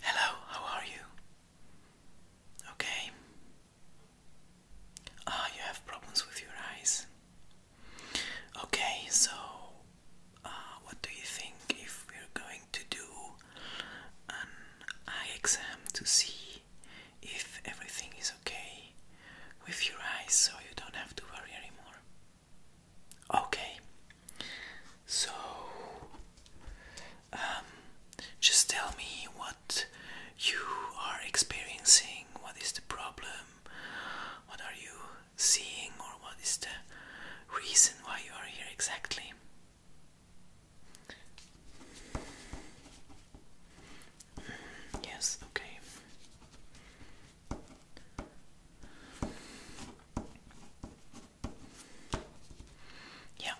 Hello, how are you? Okay. Ah, you have problems with your eyes. Okay, so uh, what do you think if we're going to do an eye exam to see if everything is okay with your eyes so you don't have to worry anymore? Okay, so um, just tell me what you are experiencing. What is the problem? What are you seeing, or what is the reason why you are here exactly? Mm, yes, okay. Yeah.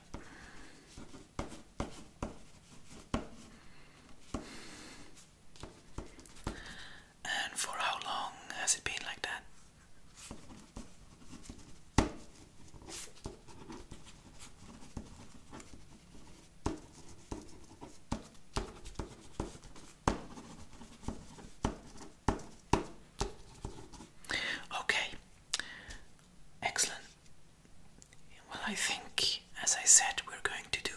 And for how long has it been like that? Okay, excellent. Well, I think, as I said, we're going to do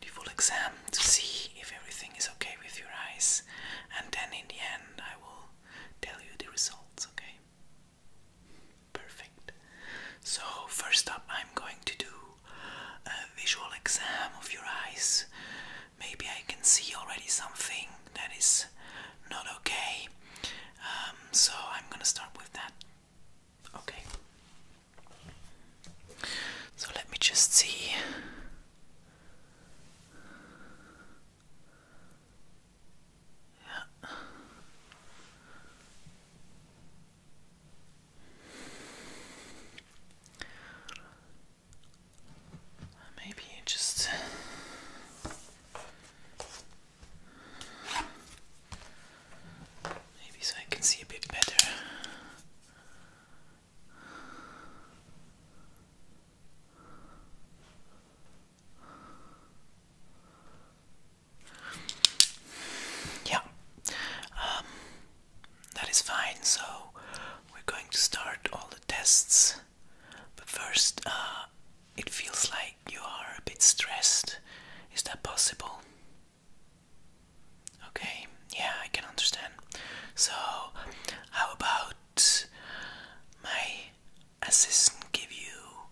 the full exam to see if everything is okay with your eyes, and then in the end, I will tell you the results, okay? Perfect. So, first up, I'm going to do a visual exam of your eyes. Maybe I can see already something that is not okay. Um, so I'm gonna start with that. Okay. So let me just see. Yeah. Maybe just maybe so I can see a bit better. Yeah. Um, that is fine, so we're going to start all the tests. But first, uh, it feels like you are a bit stressed. Is that possible? Okay, yeah, I can understand. So, how about my assistant give you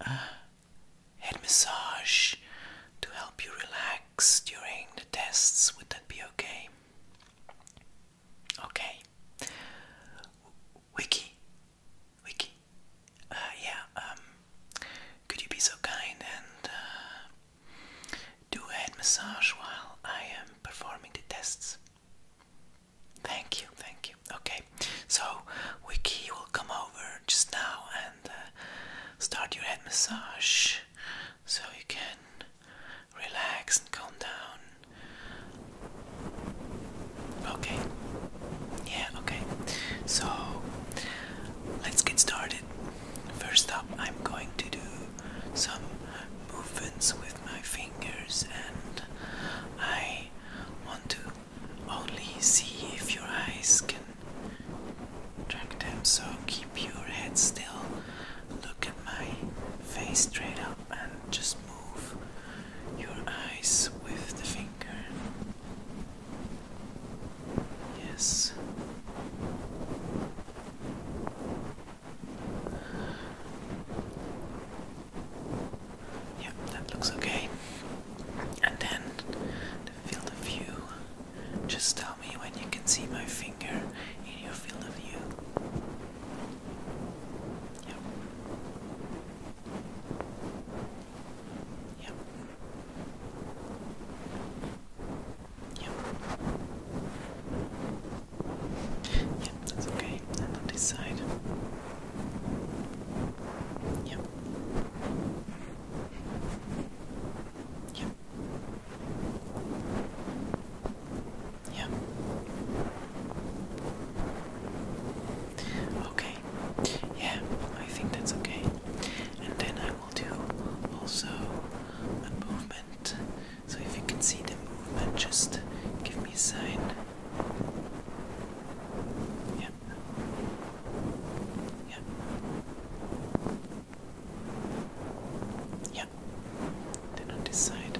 a head massage to help you relax? relax during the tests, would that be okay? Okay. Wiki, Wiki, uh, yeah, um, could you be so kind and uh, do a head massage while I am performing the tests? Thank you, thank you. Okay, so Wiki will come over just now uh, start your head massage so you can relax and calm down. Okay, yeah, okay. So let's get started. First up, I'm going to do some movements with my fingers, and I want to only see if your eyes can track them. So keep your head still, look at my face straight up, and just move your eyes with the finger. Yes. Yep, that looks okay. And then the field of view. Just tell me when you can see my finger in your field of view. Yep. Yep. Yep. Yep, that's okay. And on this Yep. Yeah. Yeah. Okay. Yeah, I think that's okay. And then I will do also a movement. So if you can see the movement, just give me a sign. Yeah. Yep. Yep. Then on this Yeah,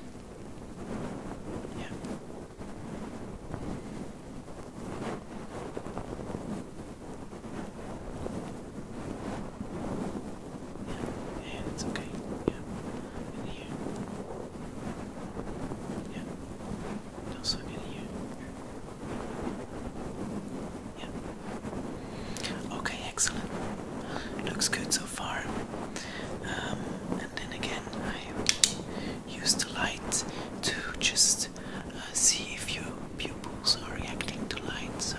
yeah, it's okay. Yeah, in here. Yeah, also in here. Yeah. Okay, excellent. Looks good so far. Um, and then again, I use the light to just uh, see if your pupils are reacting to light. So.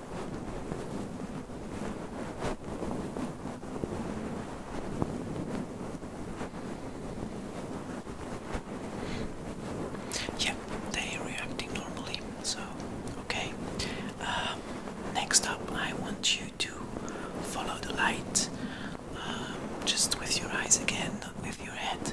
Yeah, they reacting normally, so okay. Um, next up, I want you to follow the light, um, just with your eyes again, not with your head.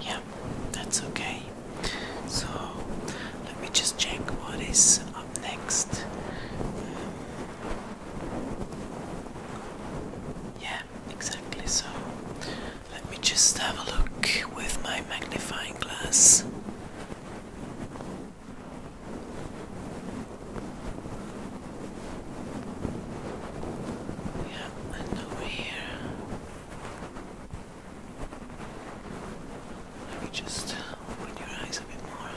Yeah, that's okay. So let me just check what is up next. Um, yeah, exactly. So let me just have a look with my magnifying glass. Yeah, over here. Let me just open your eyes a bit more.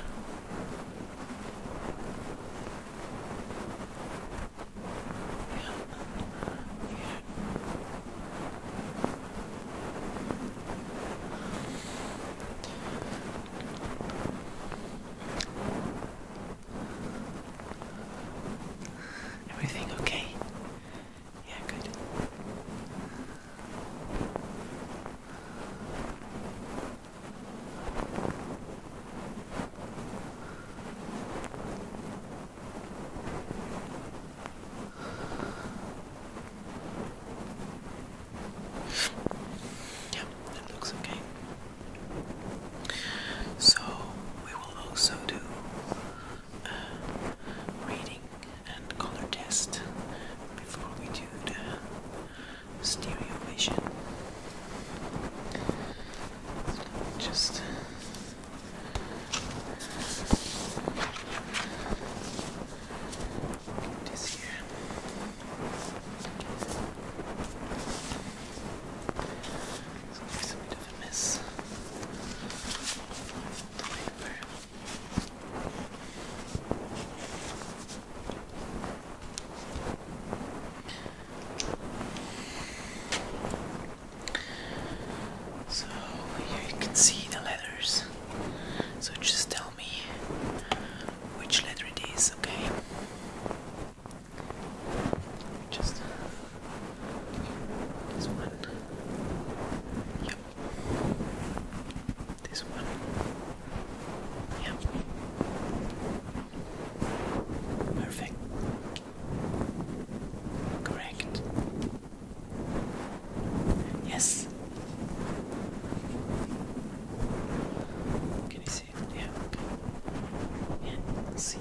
Yeah. Yeah. Everything okay? Yeah, good. Yeah, that looks okay. So we will also do uh, reading and color test before we do the stereo vision. just this here. So it's a bit of so you can see the letters. So just tell me which letter it is, okay? Just. This one. Yep. This one. Yep. Perfect. Correct. Yes. Can you see it? Yeah, see.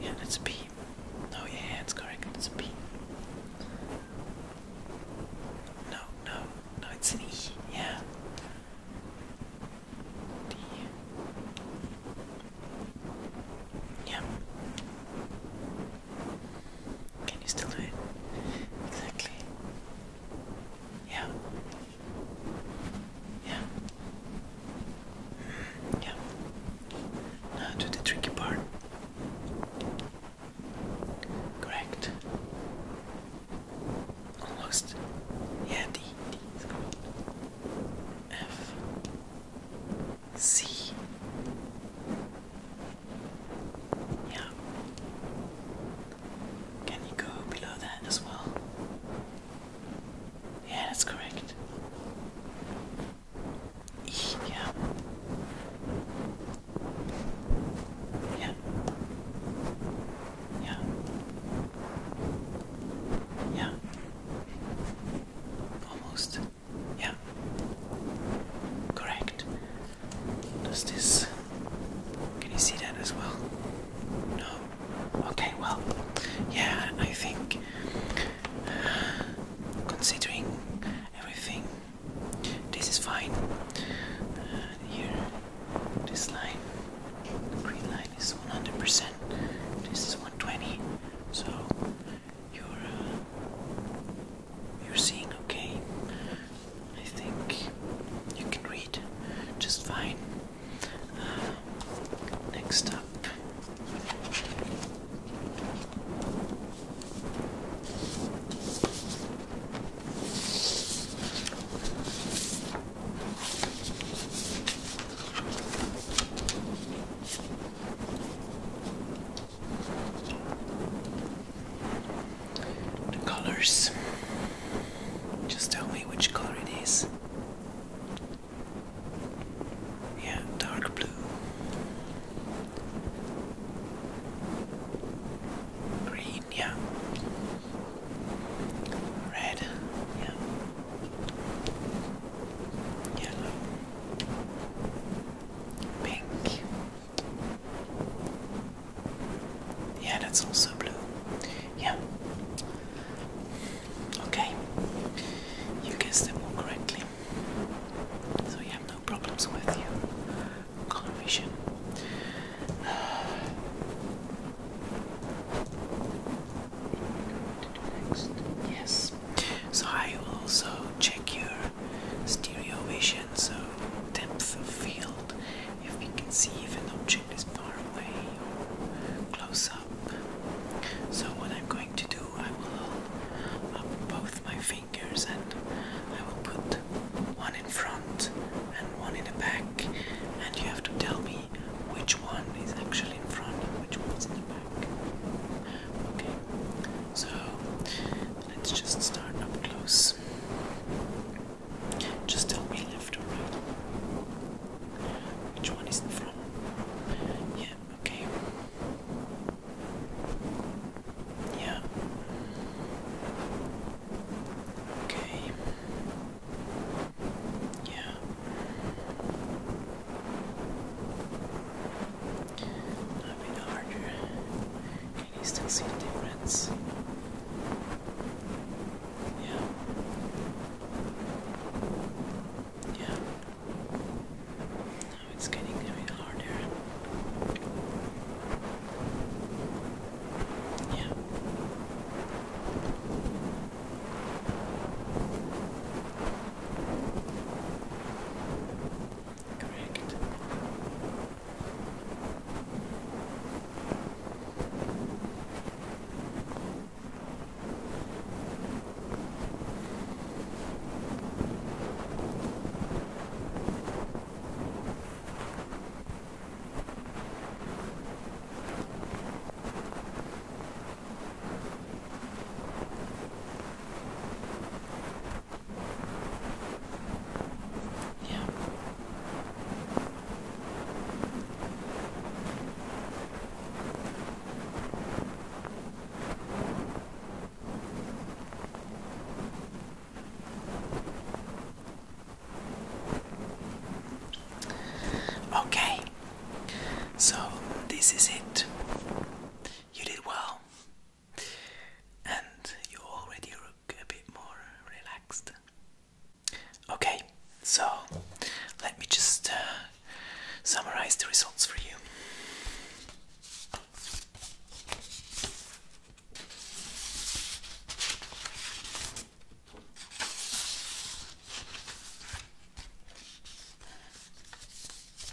Yeah, that's B. No, yeah, it's correct. It's B. No, no, no, it's an E. Yeah. D. Yeah. Can you still do it? Exactly. Yeah. Yeah. Yeah. Now to the tricky part. Correct. Almost. Yeah, D. Yeah. Can you go below that as well? Yeah, that's correct. Yeah. Yeah. Yeah. Yeah. Almost. Yeah. Correct. Does this. Can you see that as well? No? Okay, well, yeah, I think. considering everything, this is fine. Uh, here, this line, the green line is 100%, this is 120, so you're. Uh, you're seeing okay. I think you can read just fine. Uh, next up. The colors. Just tell me which color it is. Yeah, dark blue. Green, yeah. Red, yeah. Yellow. Pink. Yeah, that's also blue. Yeah. Okay. You guessed them all correctly. So you have no problems with your color vision. Next. Yes. So I will also check your stereo vision so depth of field if we can see if an object is far away or close up. So what I'm going to do, I will hold up both my fingers and I will put one in front and one in the back and you have to tell me which one is actually in front and which one is in the back. Okay, so let's just start up close. Just tell me left or right. Which one is in front? Yeah, okay. Yeah. Okay. Yeah a bit harder, and you still see the difference. Yeah. Yeah. Now it's getting a bit harder. Yeah. Correct. Yeah. Okay, so this is it you did well, and you already look a bit more relaxed. Okay, so let me just uh, summarize the results for you.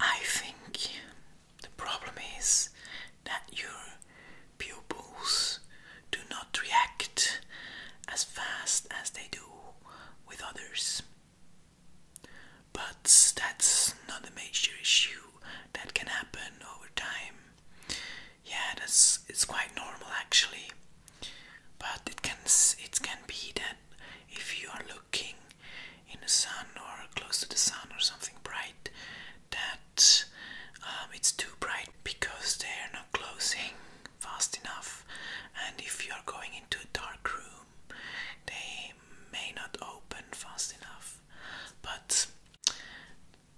I think the problem is that your pupils do not react as fast as they do with others. But that's not a major issue that can happen over time. Yeah, that's it's quite normal actually. But it can it can be that if you are looking in the sun or close to the sun or something bright that um, it's too bright because they are not closing fast enough and if you are going into a dark room they may not open fast enough but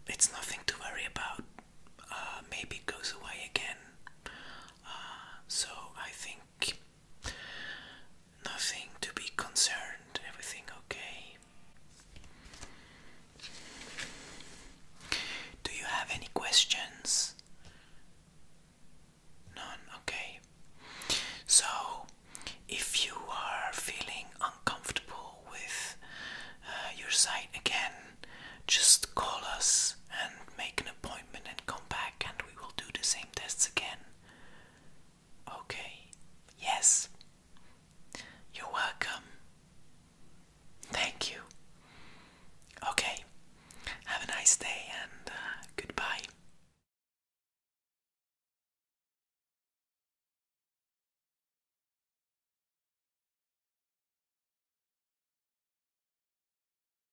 it's nothing to worry about uh, maybe it goes away again uh, so I think Nothing to be concerned, everything okay. Do you have any questions? None, okay. So, if you are feeling uncomfortable with uh, your site again, just call us and make an appointment and come back and we will do the same tests again. Okay, yes. You're welcome. Thank you. Okay, have a nice day and uh, goodbye.